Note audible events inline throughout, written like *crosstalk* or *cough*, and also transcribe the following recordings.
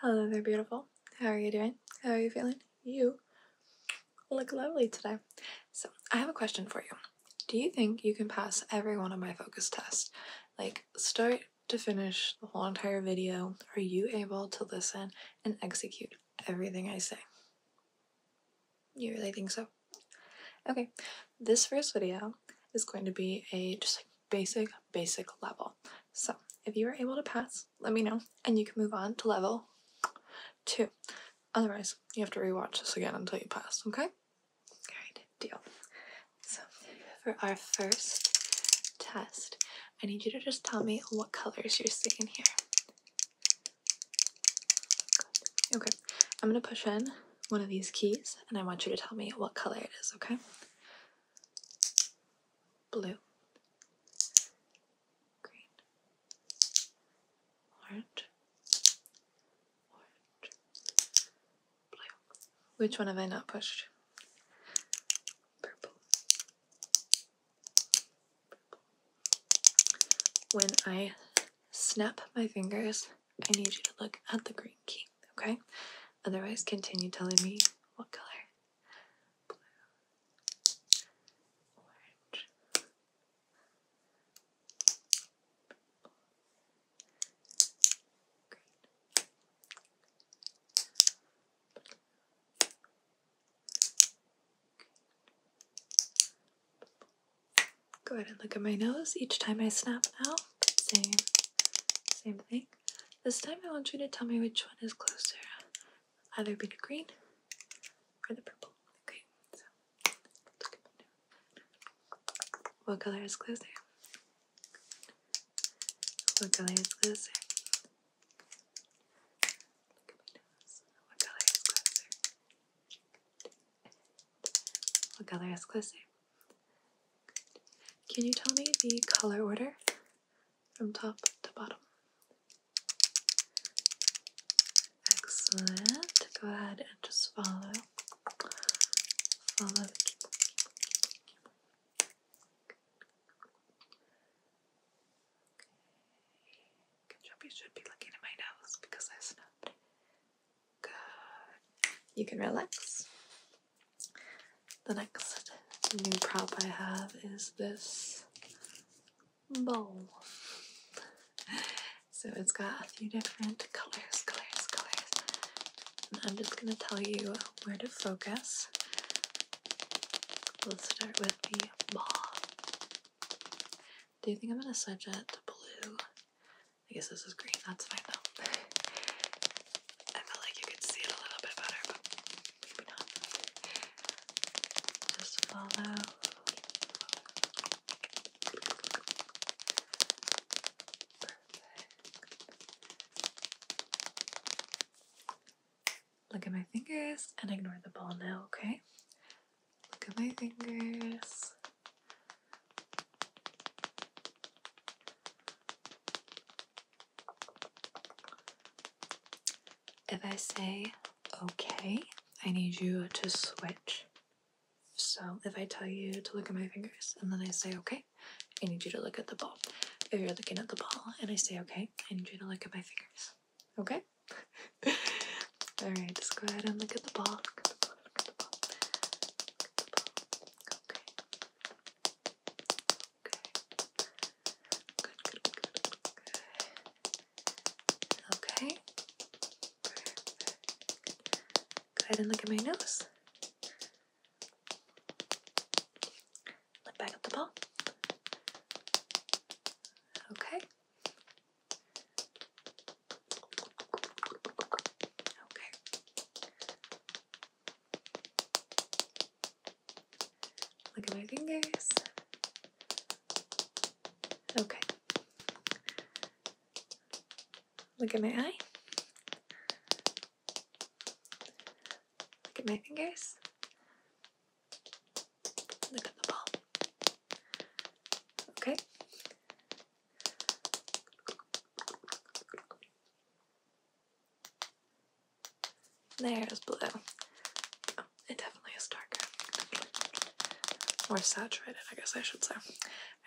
Hello there, beautiful. How are you doing? How are you feeling? You look lovely today. So, I have a question for you. Do you think you can pass every one of my focus tests? Like, start to finish the whole entire video? Are you able to listen and execute everything I say? You really think so? Okay, this first video is going to be a just basic, basic level. So if you are able to pass, let me know and you can move on to level two. Otherwise, you have to rewatch this again until you pass, okay? Alright, deal. So for our first test, I need you to just tell me what colors you're seeing here. Okay, I'm gonna push in one of these keys and I want you to tell me what color it is, okay? Blue, green, orange, orange, blue. Which one have I not pushed? Purple. Purple. When I snap my fingers, I need you to look at the green key, okay? Otherwise, continue telling me what color. Blue, orange, green, go ahead and look at my nose. Each time I snap now, same, same thing. This time I want you to tell me which one is closer, either be the green or the purple. Okay, so What color is closer? What color is closer? What color is closer? What color is closer? Can you tell me the color order from top to bottom? Excellent. Go ahead and just follow. Follow Good. job. You should be looking at my nose because I snubbed. You can relax. The next new prop I have is this bowl. So it's got a few different colors, colors, colors. And I'm just going to tell you where to focus. We'll start with the ball. Do you think I'm going to switch it to blue? I guess this is green, that's fine though. *laughs* I felt like you could see it a little bit better, but maybe not. Just follow. Look at my fingers and ignore the ball now, okay? Look at my fingers. If I say, okay, I need you to switch. So if I tell you to look at my fingers and then I say, okay, I need you to look at the ball. If you're looking at the ball and I say, okay, I need you to look at my fingers. Okay? *laughs* Alright, just go ahead and look at the ball good, good, good. Okay. Perfect. Go ahead and look at my nose. Look back at the ball. Okay. Okay. Look at my fingers. Okay. Look at my eye. Look at my fingers. Look at the ball. Okay. There's blue. Oh, it definitely is darker. More saturated, I guess I should say.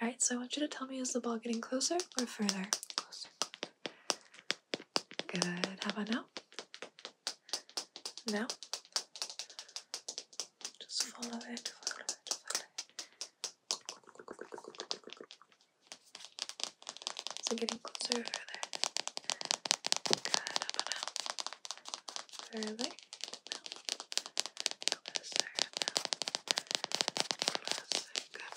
Alright, so I want you to tell me is the ball getting closer or further? Closer. Good. How about now? Now? Just follow it, follow it, follow it. Is it getting closer or further? Good, up and out. Further, closer, out. Closer, good.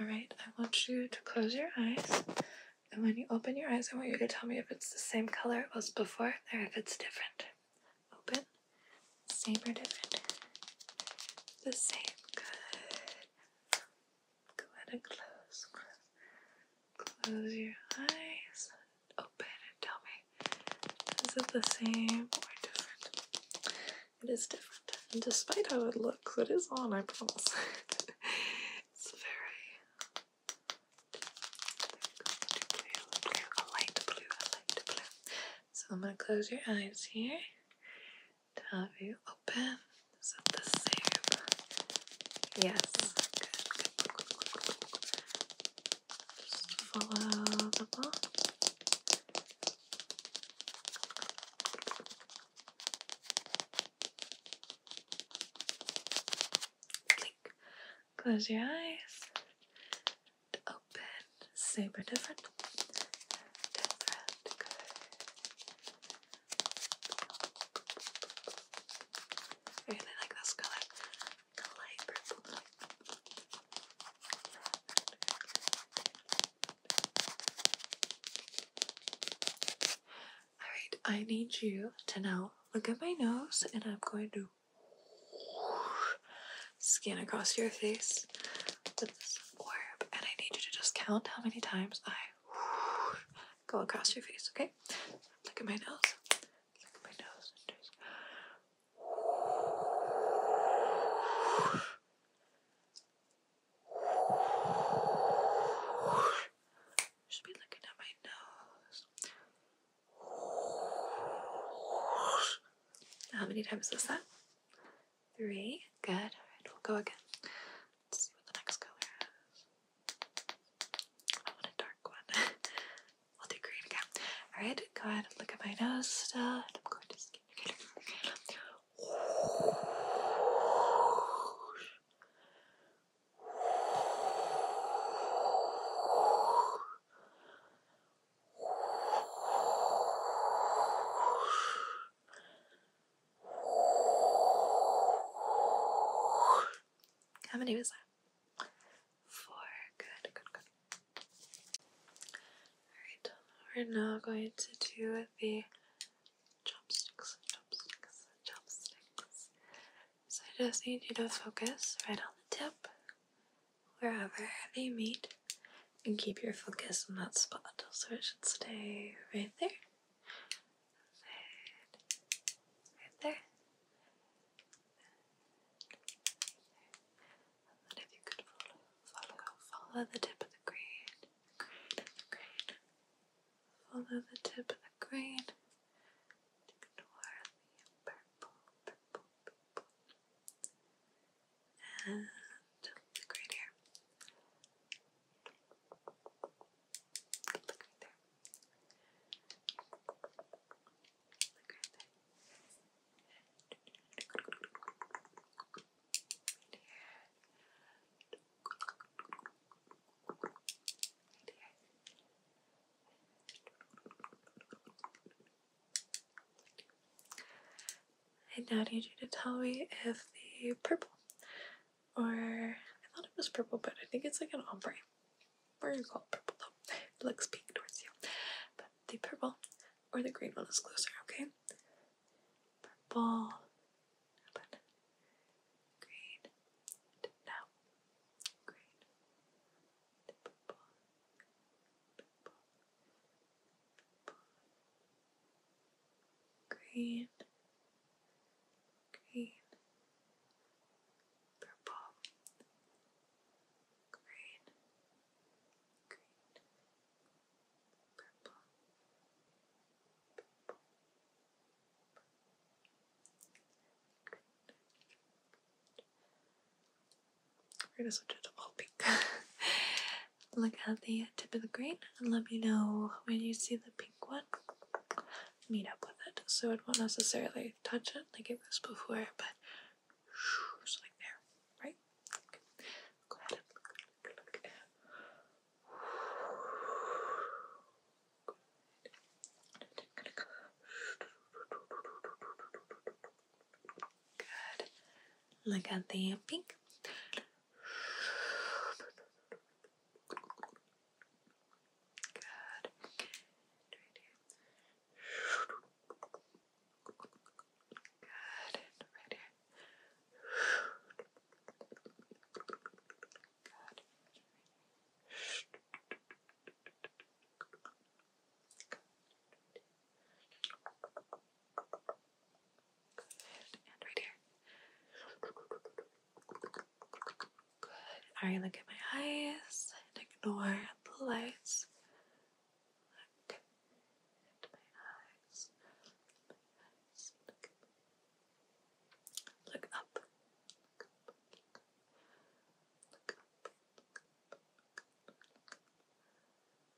Alright, I want you to close your eyes. And when you open your eyes, I want you to tell me if it's the same color it was before or if it's different. Open, Saber different. The same. Good. Go ahead and close. Close your eyes. Open and tell me. Is it the same or different? It is different. And despite how it looks, it is on, I promise. *laughs* it's very light blue, light blue. So I'm going to close your eyes here. Have you open. Is it the same? Yes. follow the ball. Close your eyes and open, super different, different, good. I really like this color, light purple. Alright, I need you to now look at my nose and I'm going to skin across your face and I need you to just count how many times I go across your face, okay? Look at my nose. Look at my nose should be looking at my nose. How many times was that? three. Good. All right, we'll go again. Let's see what the next color is. I want a dark one. we'll *laughs* do green again. All right, go ahead and look at my nose still. I'm going to skin. Whoosh. Whoosh. How many was that? Four. Good, good, good. Alright, we're now going to do the chopsticks, chopsticks, chopsticks. So I just need you to focus right on the tip wherever they meet and keep your focus on that spot. So it should stay right there. Right there. And if you could follow, follow, the tip of the green, green, green. Follow the tip of the green toward the purple, purple, purple, and look right here. Look right there. Look right there. here. here. I now need you to tell me if the purple, or I thought it was purple, but I think it's like an ombre. We're gonna call it purple though. It looks pink towards you. But the purple or the green one is closer, okay? Purple, green, now, green, purple, purple, green, green, purple, green, green, purple, purple, green, green, we're gonna switch it to all pink. *laughs* Look at the tip of the green and let me know when you see the pink one. Meet up with it. So it won't necessarily touch it like it was before, but like there, right? Go ahead Good. Look at the pink. Good. Good. Right Good. Good. Good. And right here. Good. Alright, look at my eyes ignore the lights. Look up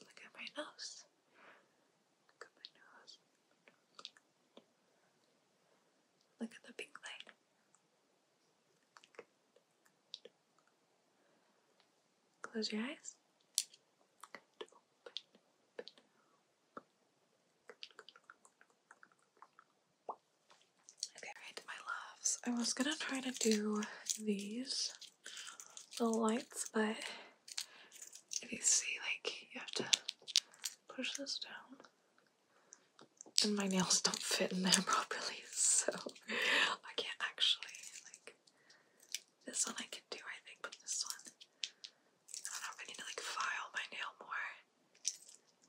Look at my nose. Look at my nose. Look at the pink light. Close your eyes. Okay, right, my loves. I was gonna try to do these the lights, but if you see, like, you have to push this down. And my nails don't fit in there *laughs* properly, so I can't actually, like, this one I can do, I think, but this one, I I need to, like, file my nail more.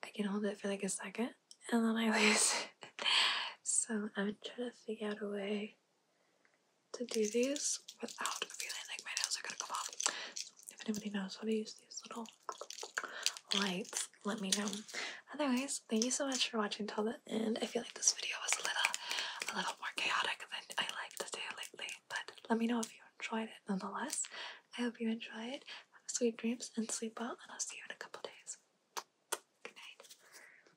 I can hold it for, like, a second, and then I *laughs* lose it. so I'm trying to figure out a way to do these without feeling like my nails are gonna come off. if anybody knows how to use these little lights, let me know. Otherwise, thank you so much for watching till the end. I feel like this video was a little a little more chaotic than I like to do lately, but let me know if you enjoyed it nonetheless. I hope you enjoyed. Have sweet dreams and sleep well, and I'll see you in a couple days. Good night.